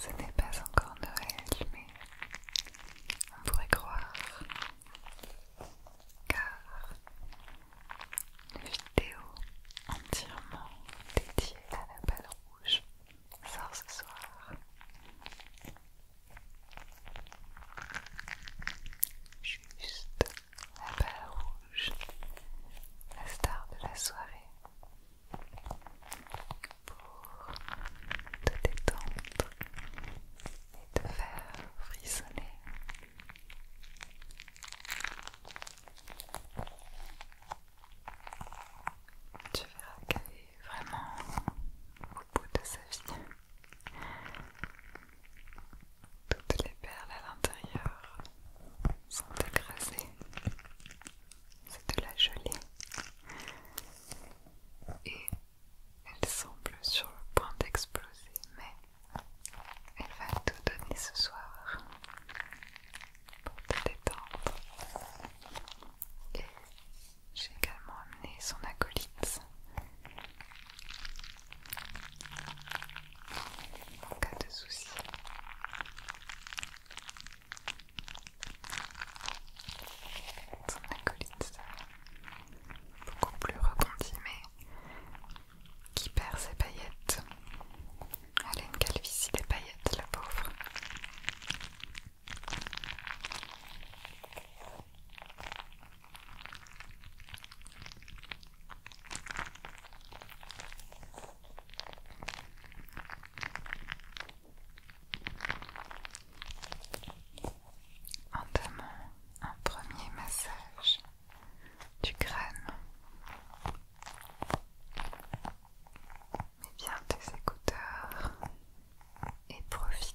Ce n'est pas encore Noël, mais on pourrait croire, car une vidéo entièrement dédiée à la balle rouge sort ce soir. Juste la balle rouge, la star de la soirée, pour te détendre et te faire frissonner. Tu verras qu'elle est vraiment au bout de sa vie. Toutes les perles à l'intérieur sont écrasées. C'est de la gelée. Et elle semble sur le point d'exploser, mais elle va tout donner ce soir pour te détendre j'ai également amené son acolyte en cas de souci. Son acolyte beaucoup plus rebondi mais qui perd ses paillettes. Elle a une calvitie des paillettes, la pauvre. Entamons un premier massage du crâne. Mets bien tes écouteurs et profite.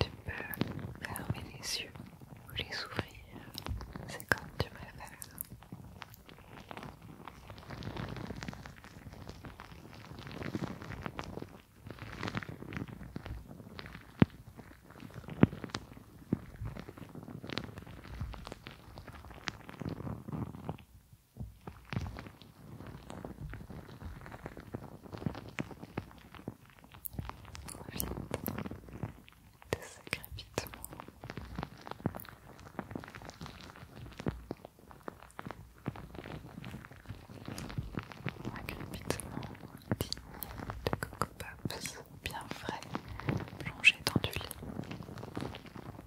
Tu peux fermer les yeux ou les ouvrir, c'est comme tu préfères. Des de ce crépitement. Un digne de Coco Pops, bien frais, plongé dans du lit.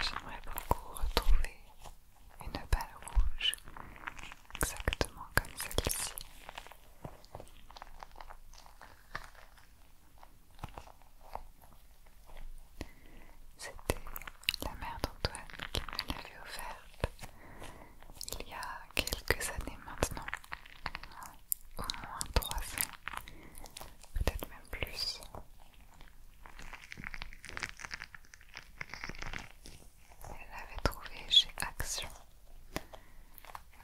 J'aimerais beaucoup retrouver une balle rouge exactement comme celle-ci. C'était la mère d'Antoine qui me l'avait offerte il y a quelques années maintenant au moins 300, peut-être même plus. Elle l'avait trouvé chez Action,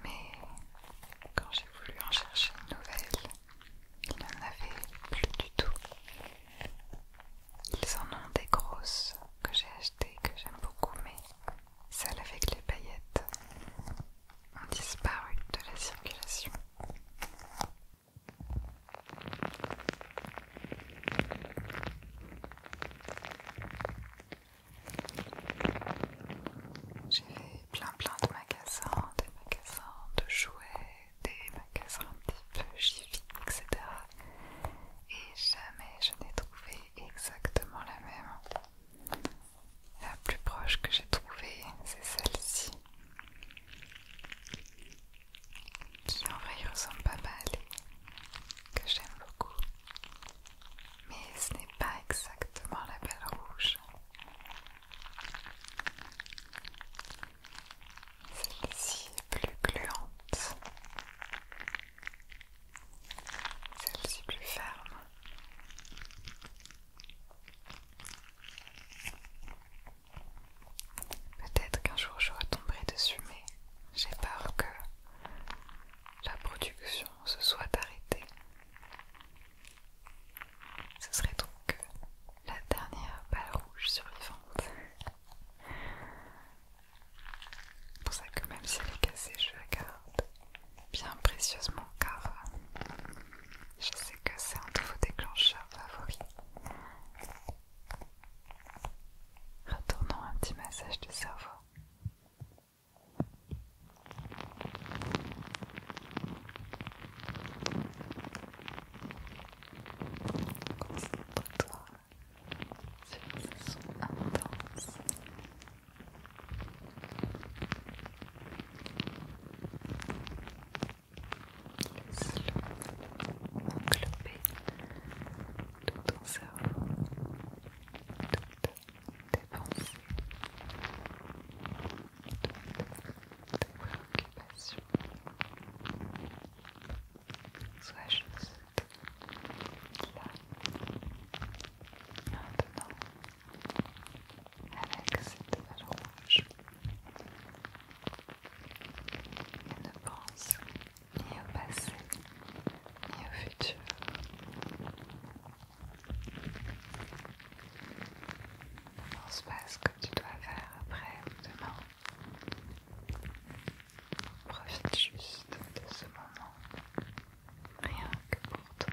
mais quand j'ai voulu en chercher une nouvelle, il n'en avait plus du tout. Ils en ont des grosses que j'ai achetées, que j'aime beaucoup, mais celles avec les paillettes ont disparu de la circulation. J'ai fait plein plein de magasins, des magasins de jouets, des magasins de petit etc. Et jamais je n'ai trouvé exactement la même. La plus proche que j'ai trouvée, c'est celle-ci. Qui en vrai ressemble pas mal, que j'aime beaucoup. Mais ce n'est pas exactement la belle rouge. Celle-ci est plus gluante. Celle-ci plus ferme. Peut-être qu'un jour je retomberai dessus, mais j'ai peur que la production se soit arrêtée. Ce serait donc la dernière balle rouge survivante. C'est pour ça que même si elle est cassée, je la garde bien précieusement car euh, je sais que c'est un de vos déclencheurs favoris. Retournons un petit massage du cerveau. son englobé tout ton cerveau, toutes tes pensées, toutes tes préoccupations. Sois juste là, Maintenant, avec cette rouge, ne pense ni au passé, ni au futur. Ne pense pas ce que tu dois faire après ou demain. Profite juste de ce moment, rien que pour toi.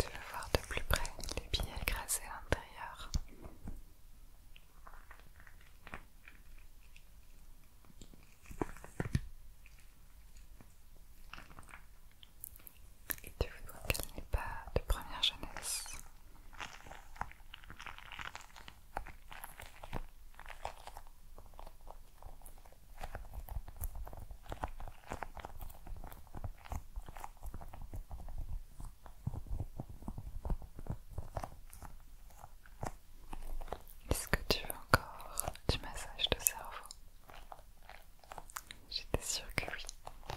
Tu veux voir de plus près les billets écrasés à l'intérieur. Et tu voudrais qu'elle n'est pas de première jeunesse. Est-ce que tu veux encore du massage de cerveau J'étais sûre que oui.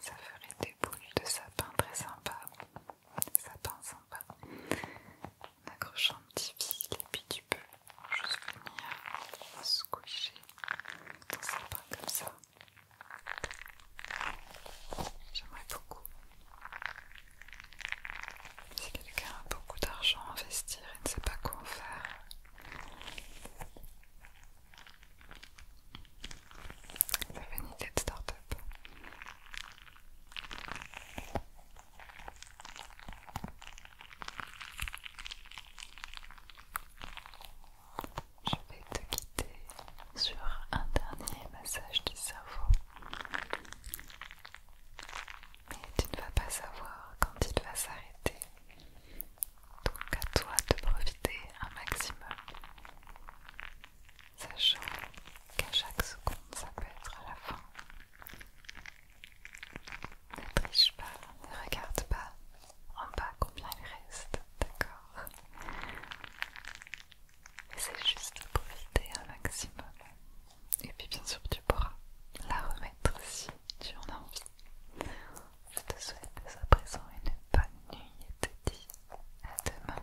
Ça ferait des boules de sapin très sympa. Sapin sympa en accrochant un petit fil et puis tu peux juste venir squisher dans ses bras comme ça. J'aimerais beaucoup. Si quelqu'un a beaucoup d'argent à investir et ne sait pas quoi en faire, ça fait une idée de start-up. Je vais te quitter sur un dernier massage du cerveau. Mais tu ne vas pas savoir quand il va s'arrêter. Donc à toi de profiter un maximum. Sachant qu'à chaque seconde, ça peut être à la fin ne triche pas, ne regarde pas en bas combien il reste, d'accord C'est juste profiter un maximum. Et puis bien sûr tu pourras la remettre si tu en as envie. Je te souhaite à présent une bonne nuit et te dis à demain.